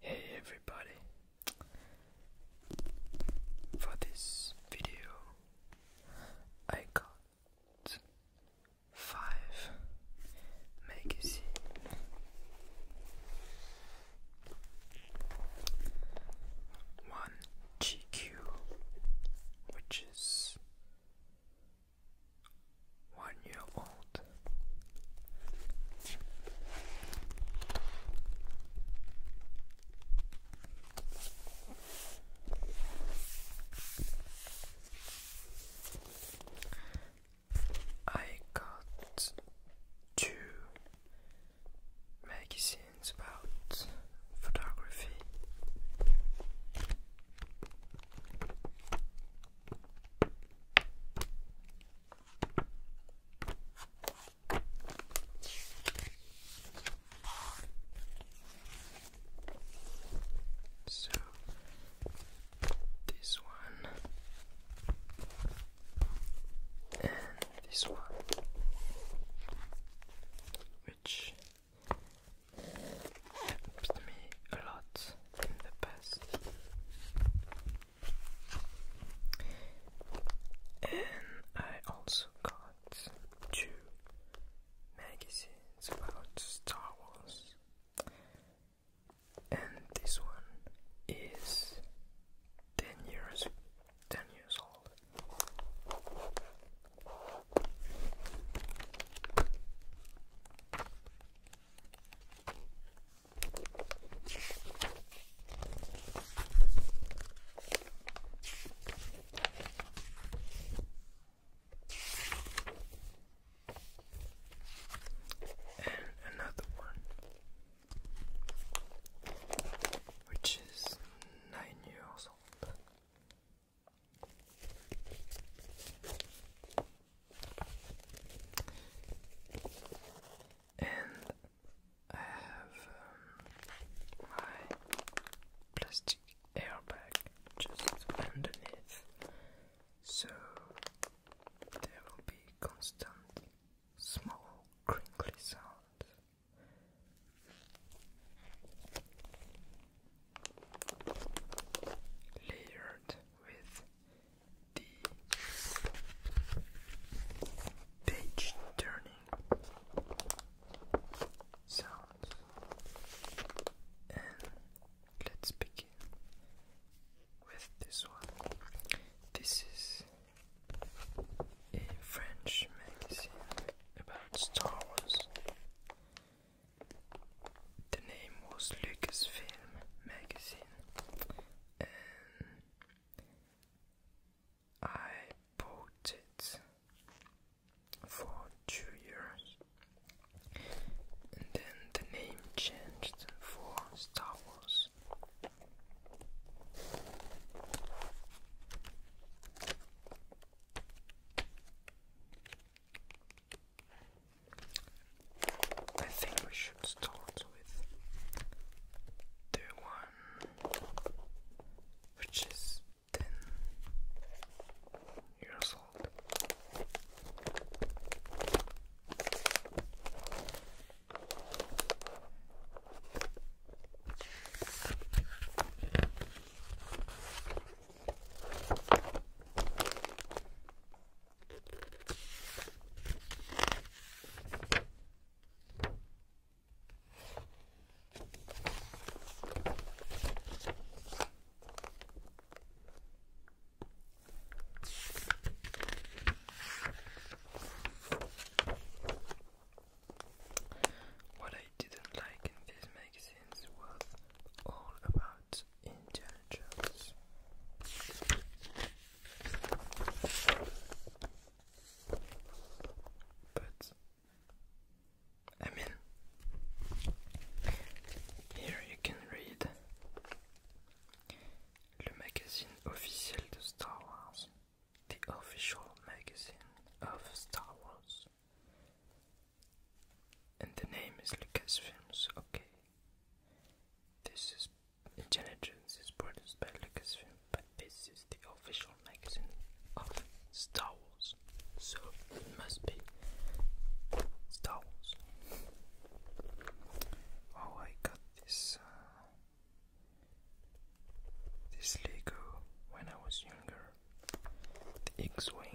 Hey everybody! For this video, I got five magazines. One GQ, which is one year old. I got two magazines about photography. So this one and this one, which helps me a lot in the past. And I also got two magazines about Star Wars. And this one is ten years ten years old. And another one, which is nine years old. And I have um, my plastic airbag just underneath, so there will be constant small crinkly sounds. Layered with the page turning sounds. And let's begin with this one. This is a French magazine about Star Wars the name was Lucasfilm Magazine, and I bought it for two years, and then the name changed for Star Wars. I think we should start with the one which is 10 years old. What I didn't like in these magazines was all about intelligence. But I mean, here you can read the magazine officiel de Star Wars, the official magazine of Star Wars. And the name is Lucas Films. okay. This is *Intelligence* Jones is produced by Lucasfilm, but this is the official magazine of Star Wars, so it must be Star Wars. Oh, I got this uh, this Lego when I was younger, the X-wing.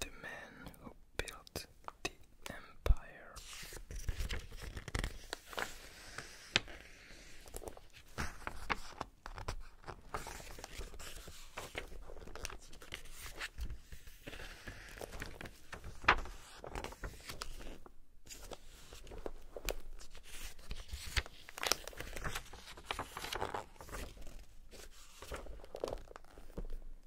The man built the empire.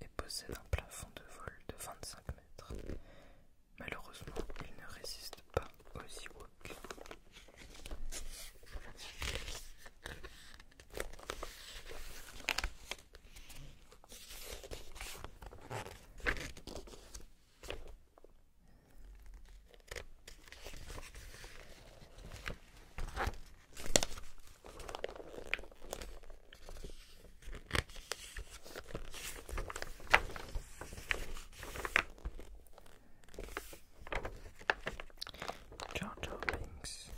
et possède un plafond de vol de 25 mètres. Malheureusement, il ne résiste pas aux Ewoks. Jar Jar Binks.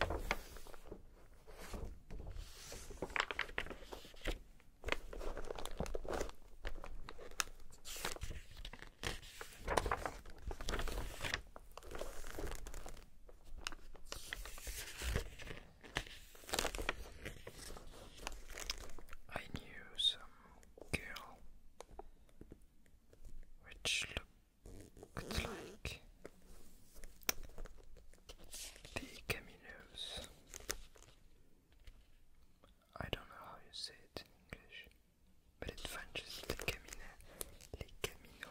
I knew some girl which looked like the Caminos. I don't know how you say it in English, but it's French it's the Camino. Les Caminos.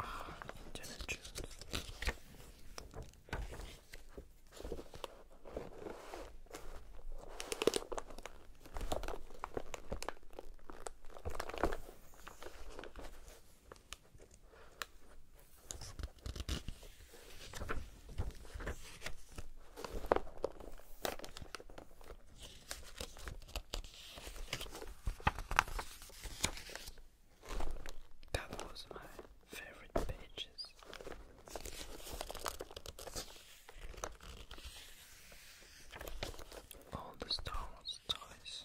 Ah, Indiana Jones. That was my favorite pages. All the Star Wars toys.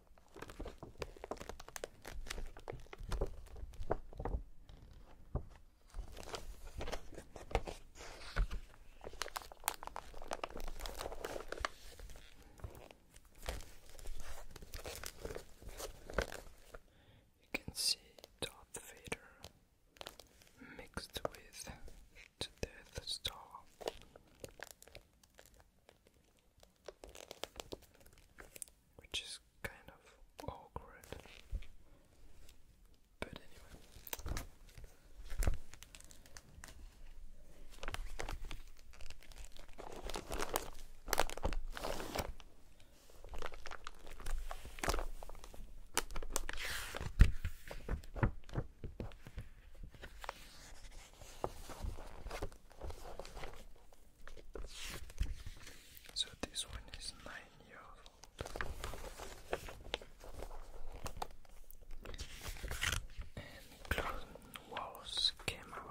You can see Darth Vader mixed with Death Star which is kind of awkward. But anyway. So this one is nine years old. And Clone Wars came out.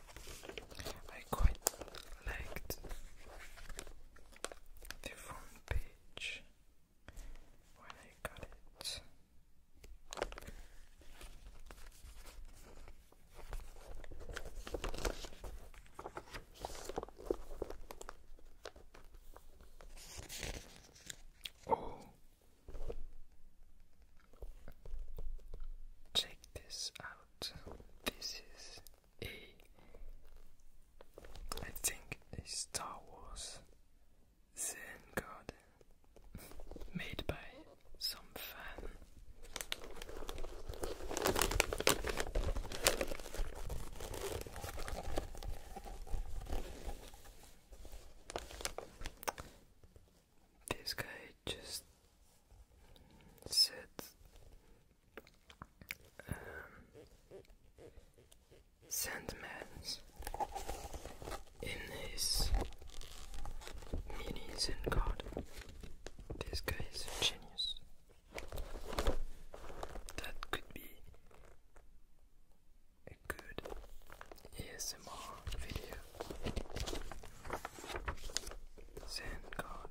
I quite liked the front page when I got it. Oh, check this out. This is a, I think, a Star Wars Zen garden made by some fan. This guy just Set um, Sandman in his mini Zen god. This guy is genius. That could be a good ASMR video. Zen card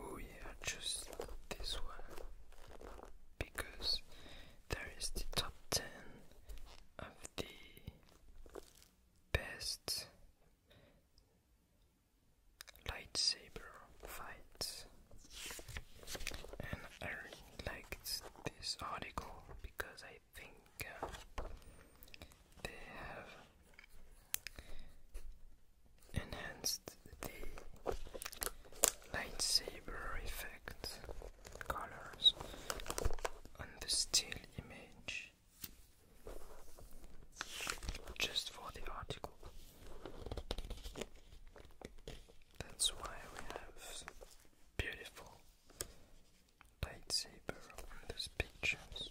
Oh yeah, just this one because there is the top ten of the best lightsaber fights, and I liked this article because I think uh, they have enhanced the lightsaber effect colors on the still image just for the article. That's why we have beautiful lightsaber on those pictures.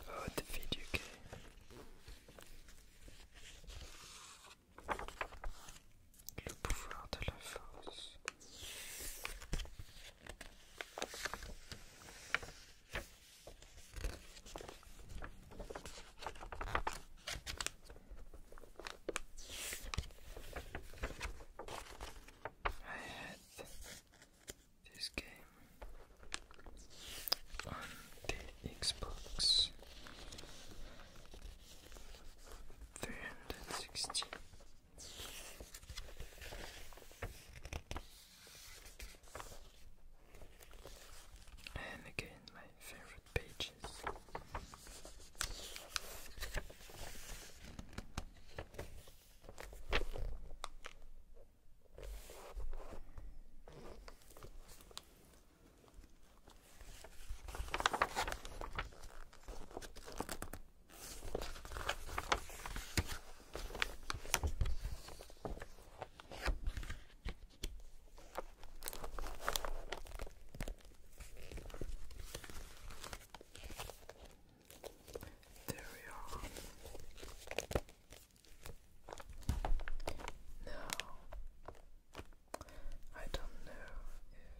Oh, the video game. Le pouvoir de la force. I had this game on the Xbox three hundred sixty. And again, my favorite pages. There we are. Now I don't know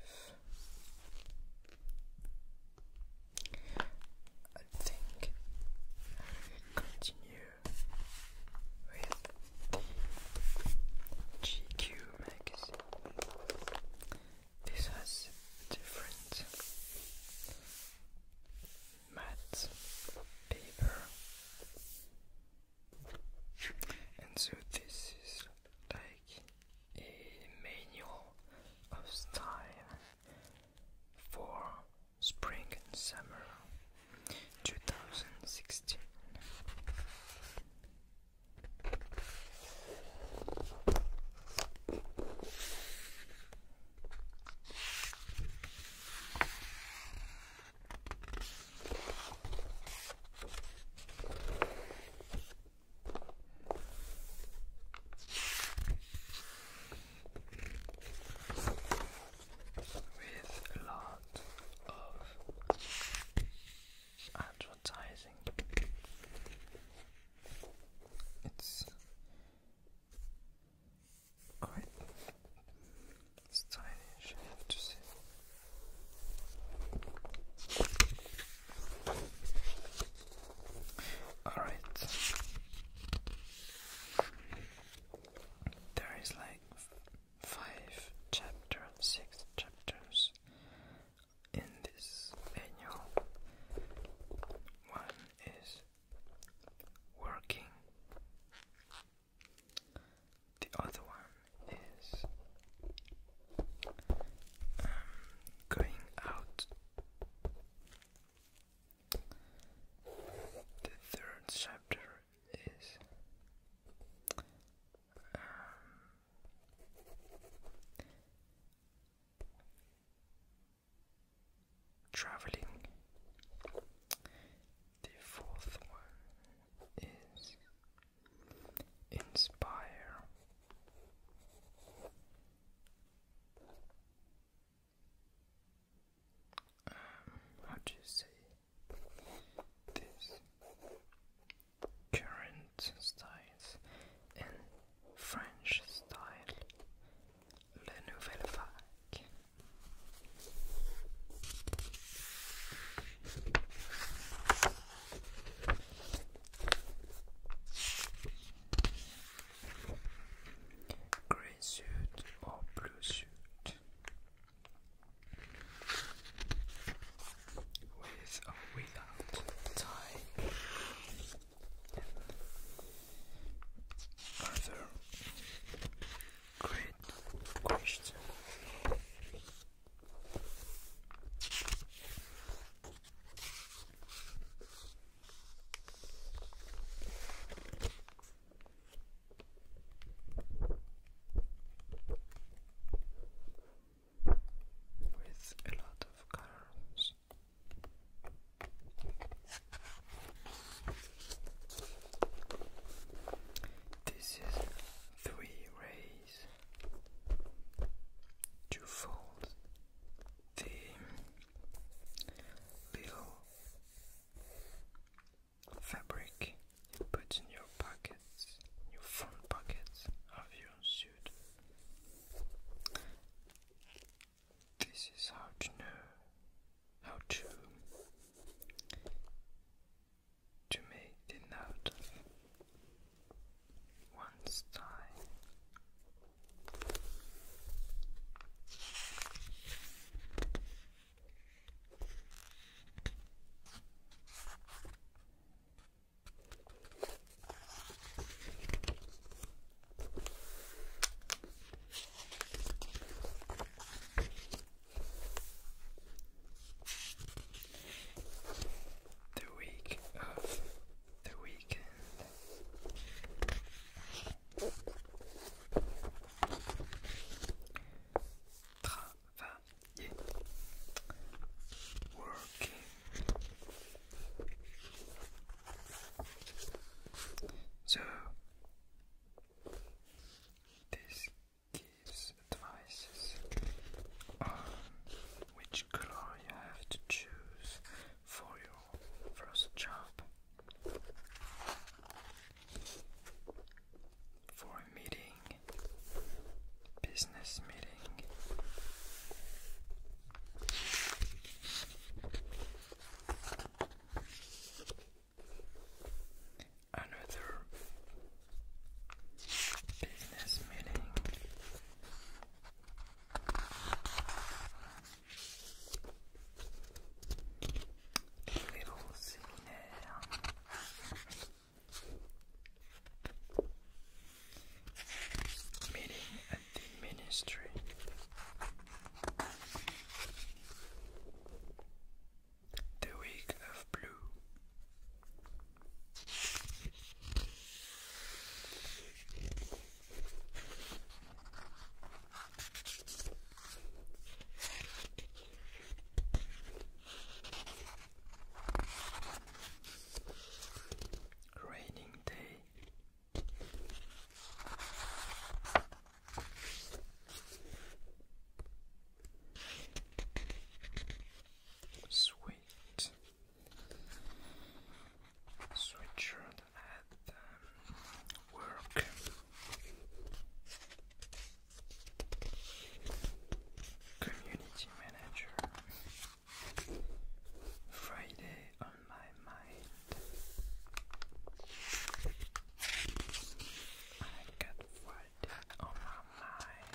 if. I think I will continue with the GQ magazine. This has different matte paper, and so this is like a manual of style for spring and summer 2016 with a lot of advertising. It's Alright, it's tiny, have to see. All right. There is like five chapters, six chapters in this manual. One is working. The other one is going out the third chapter is um, traveling the fourth one is Inspire. Um, how do you say this? Current styles and French style. La nouvelle vague. Green suit or blue suit with or without tie Another great question with a lot of colors. This is three rays to fold the little fabric you put in your pockets, your front pockets of your suit. This is how to know how to to make the knot of one side. The week of the weekend. Travailler, working, so this gives advices on which color you have to choose for your first job. For a meeting, business meeting. Another business meeting le rossine meeting at the ministry the week of blue Raining day. Sweet Sweatshirt at um, work. Community manager. Friday on my mind. I got Friday on my mind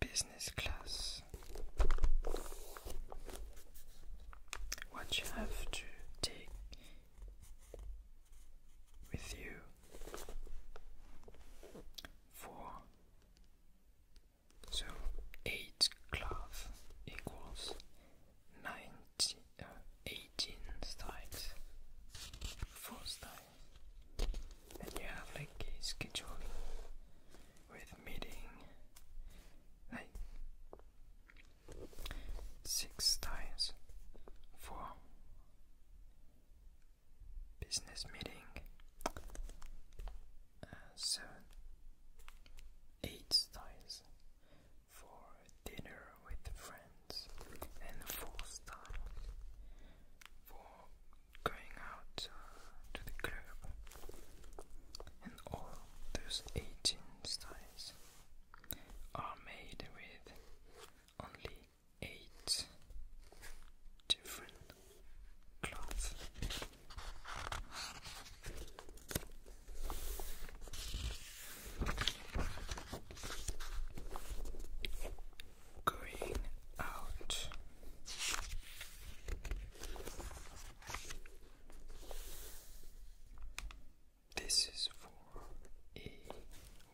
business class. What you have to take with you for so eight cloth equals ninety uh, four styles and you have like a scheduling with meeting like six times for business meeting uh, seven eight times for dinner with friends and fourth time for going out uh, to the club, and all those 18 styles are made with only 8 different cloths going out. This is for a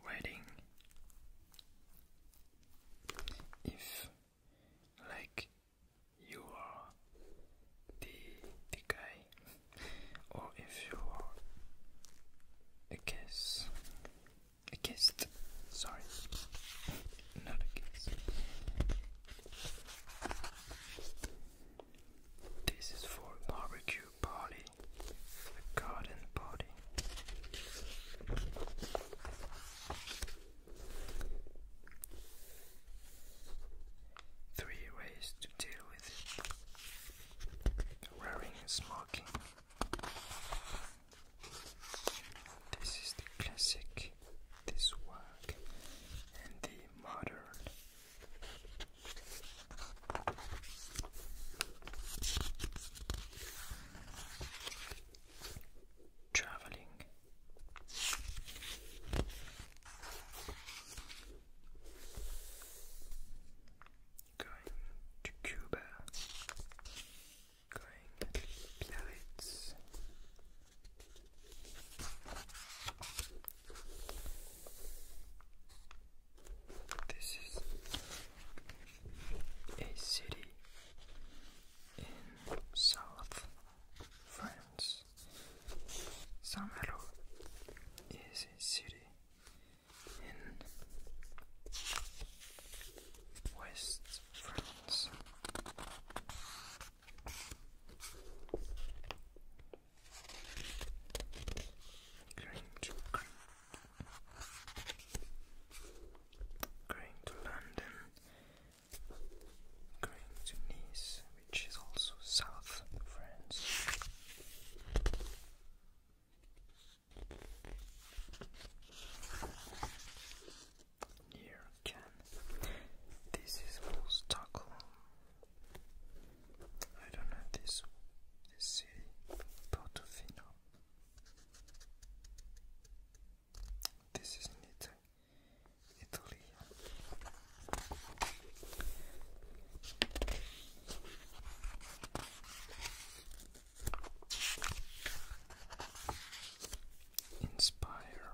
wedding. If, like, you are the, guy, or if you are a guest, a kiss. Sorry. Not a kiss. This is for barbecue party. A garden party. Three ways to deal with it. Wearing smoking. This is the classic, this work, and the modern. Traveling. Going to Cuba, going this is a city in South France. Saint Malo is a city in West is going to London, going to Nice, which is also south France. Here can. This is called Stockholm. I don't know this this city. Portofino. This is in Italy. Italy. Inspire.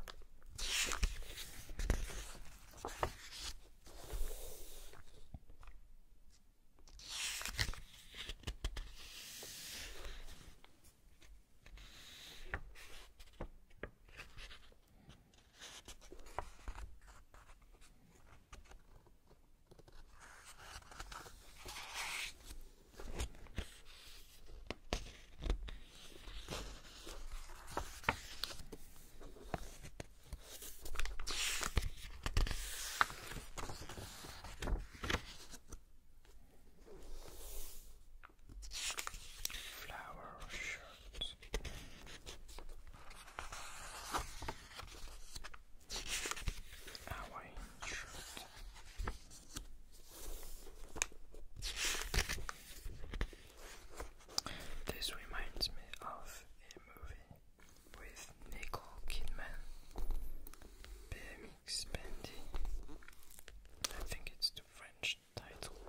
Flower shirt. Hawaiian shirt. This reminds me of a movie with Nicole Kidman, BMX Bendy. I think it's the French title,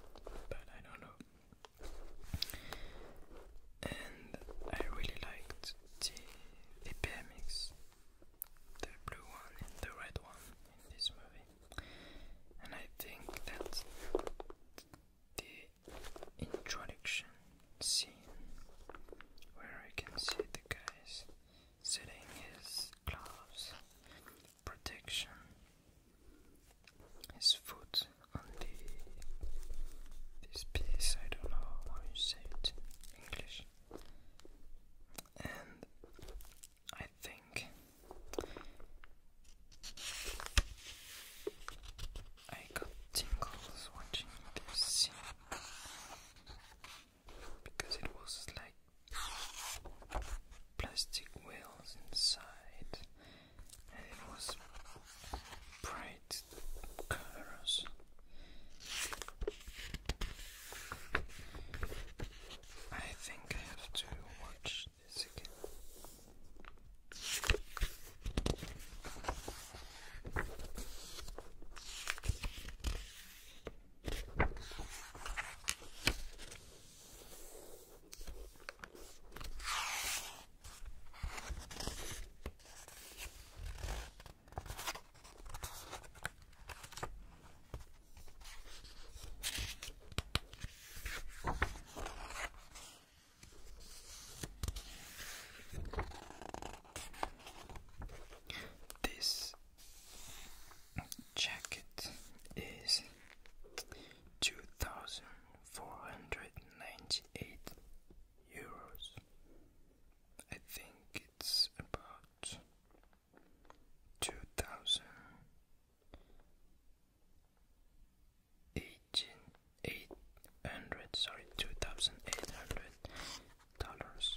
but I don't know. And I really liked the BMX the blue one and the red one in this movie. And I think that's the introduction scene where I can see the guys setting his gloves, protection, his foot on the this piece, I don't know how you say it in English. And I think I got tingles watching this scene because it was like plastic wheels inside and it was bright colors I think I have to watch this again. This jacket is two thousand four hundred ninety eight euros. I think it's about two thousand eighteen eight hundred sorry two thousand eight hundred dollars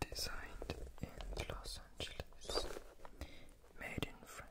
Designed in Los Angeles, made in France.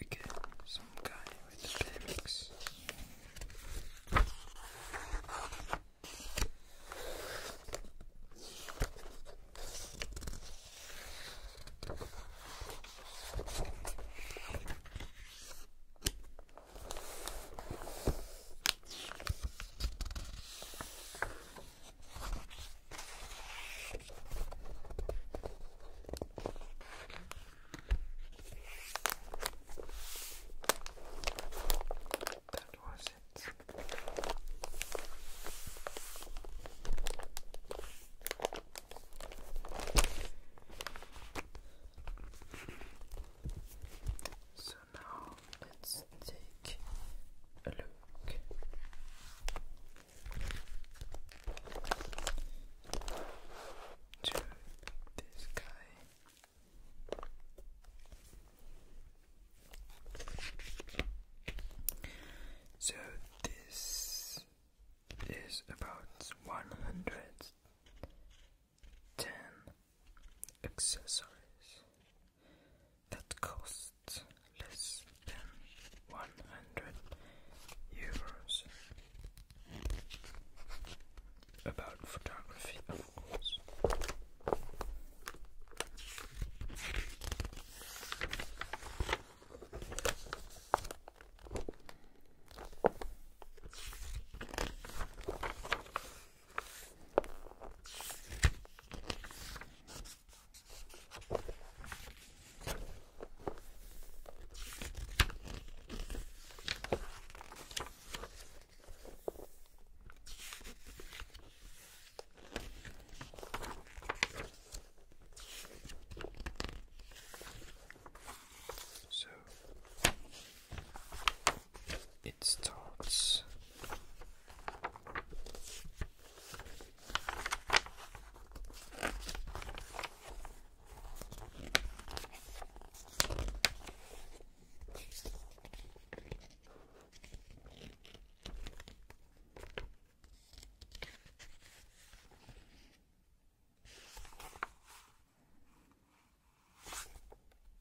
Again, some guy with the premix. That was it. So so now let's take a look. To this guy. So this is about one hundred ten accessories that costs less than 100 euros. About photography, of course. So, in it starts.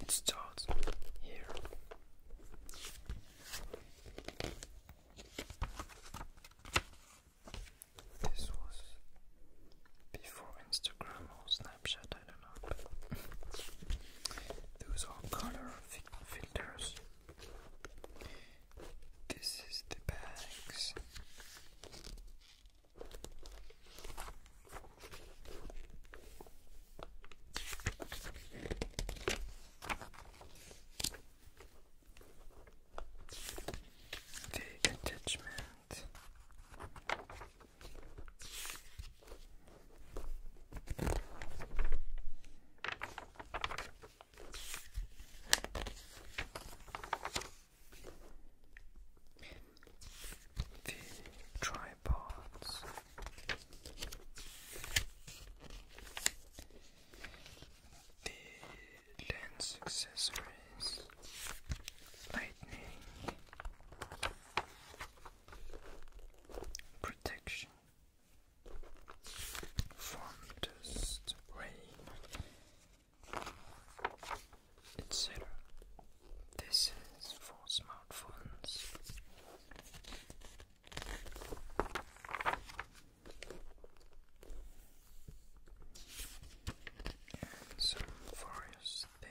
It starts here. This was before Instagram or Snapchat, I don't know. those are color filters. This is the bags. The attachment. The dry tripods. The lens accessories, lightning, protection from dust, rain, etc. This is for smartphones. And some forest thing.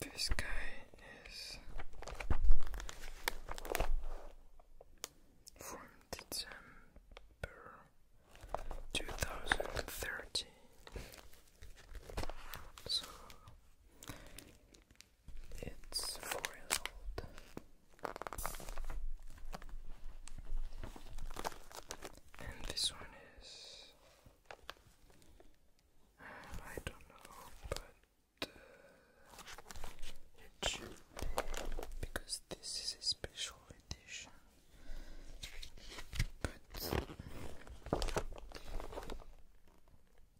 This guy is from December two thousand thirteen. So it's four years old. And this one is. Uh, I don't know, but YouTube because this is a special edition. But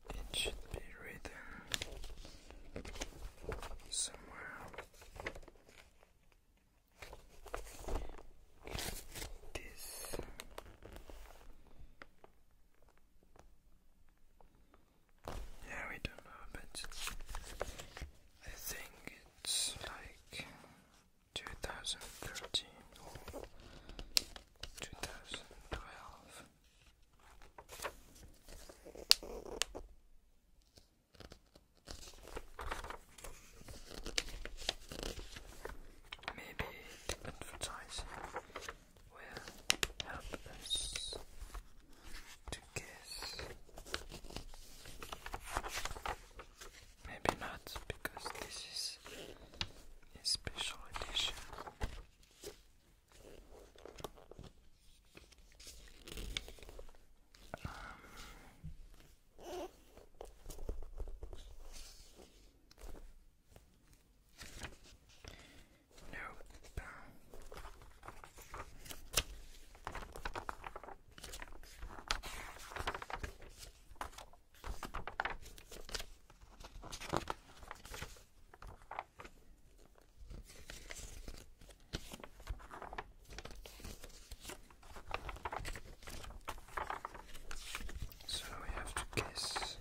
it should be written somewhere. This yeah, we don't know, but I think it's like 2013 or 2012. Maybe advertising will help us to guess. Maybe not, because this is a special edition. Um, Nope. So we have to guess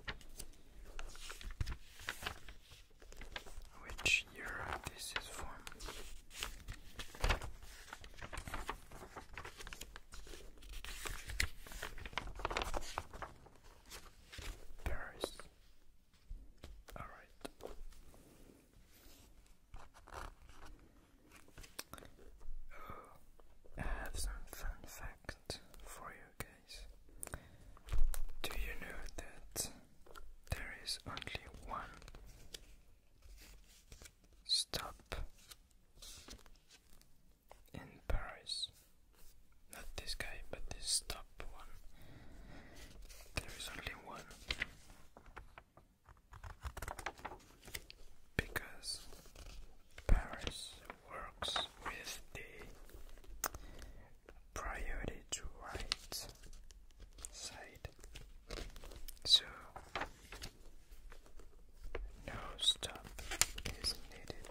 which year this is from. Paris. All right. Oh, I have some fun facts for you guys do you know that there is only one stop in Paris? Not this guy, but this stop one. There is only one. Because Paris works with the priority to right side. So no stop is needed.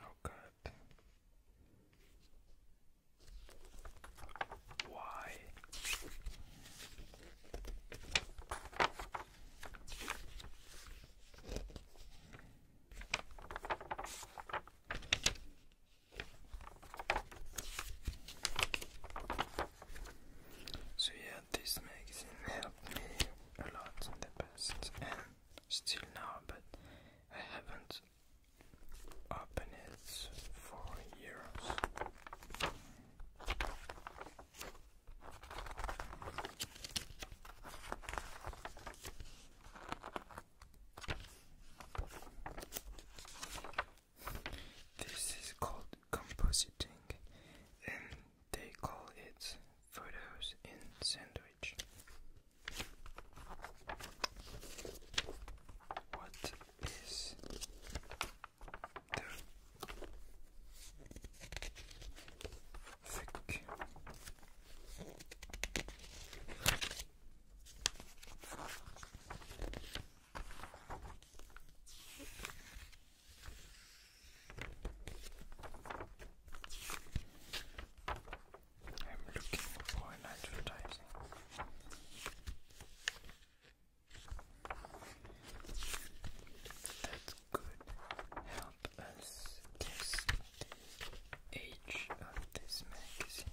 Oh god. Why? So yeah, this magazine helped me a lot in the past and still now, but I haven't opened it for years. This is called compositing, they call it photos in sandwich. What is the thick I'm looking for an advertising. That could help us guess age of this magazine.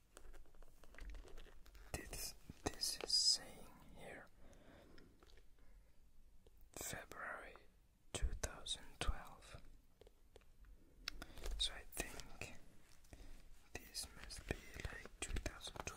This, this is saying here February 2012. So I think this must be like 2012.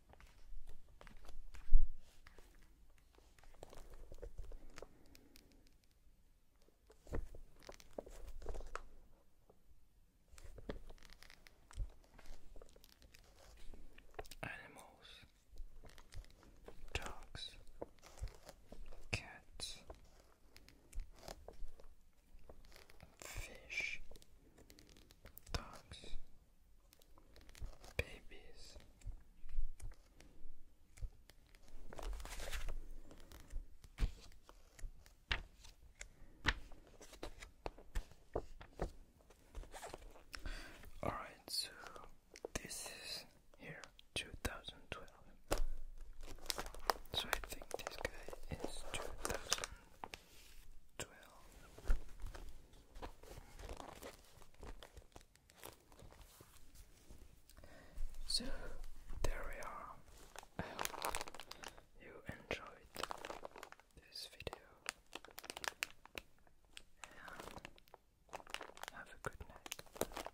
Animals, dogs, cats, fish, dogs babies. All right, so this is here 2012. So I think this guy is 2000 so there we are. I hope you enjoyed this video and have a good night.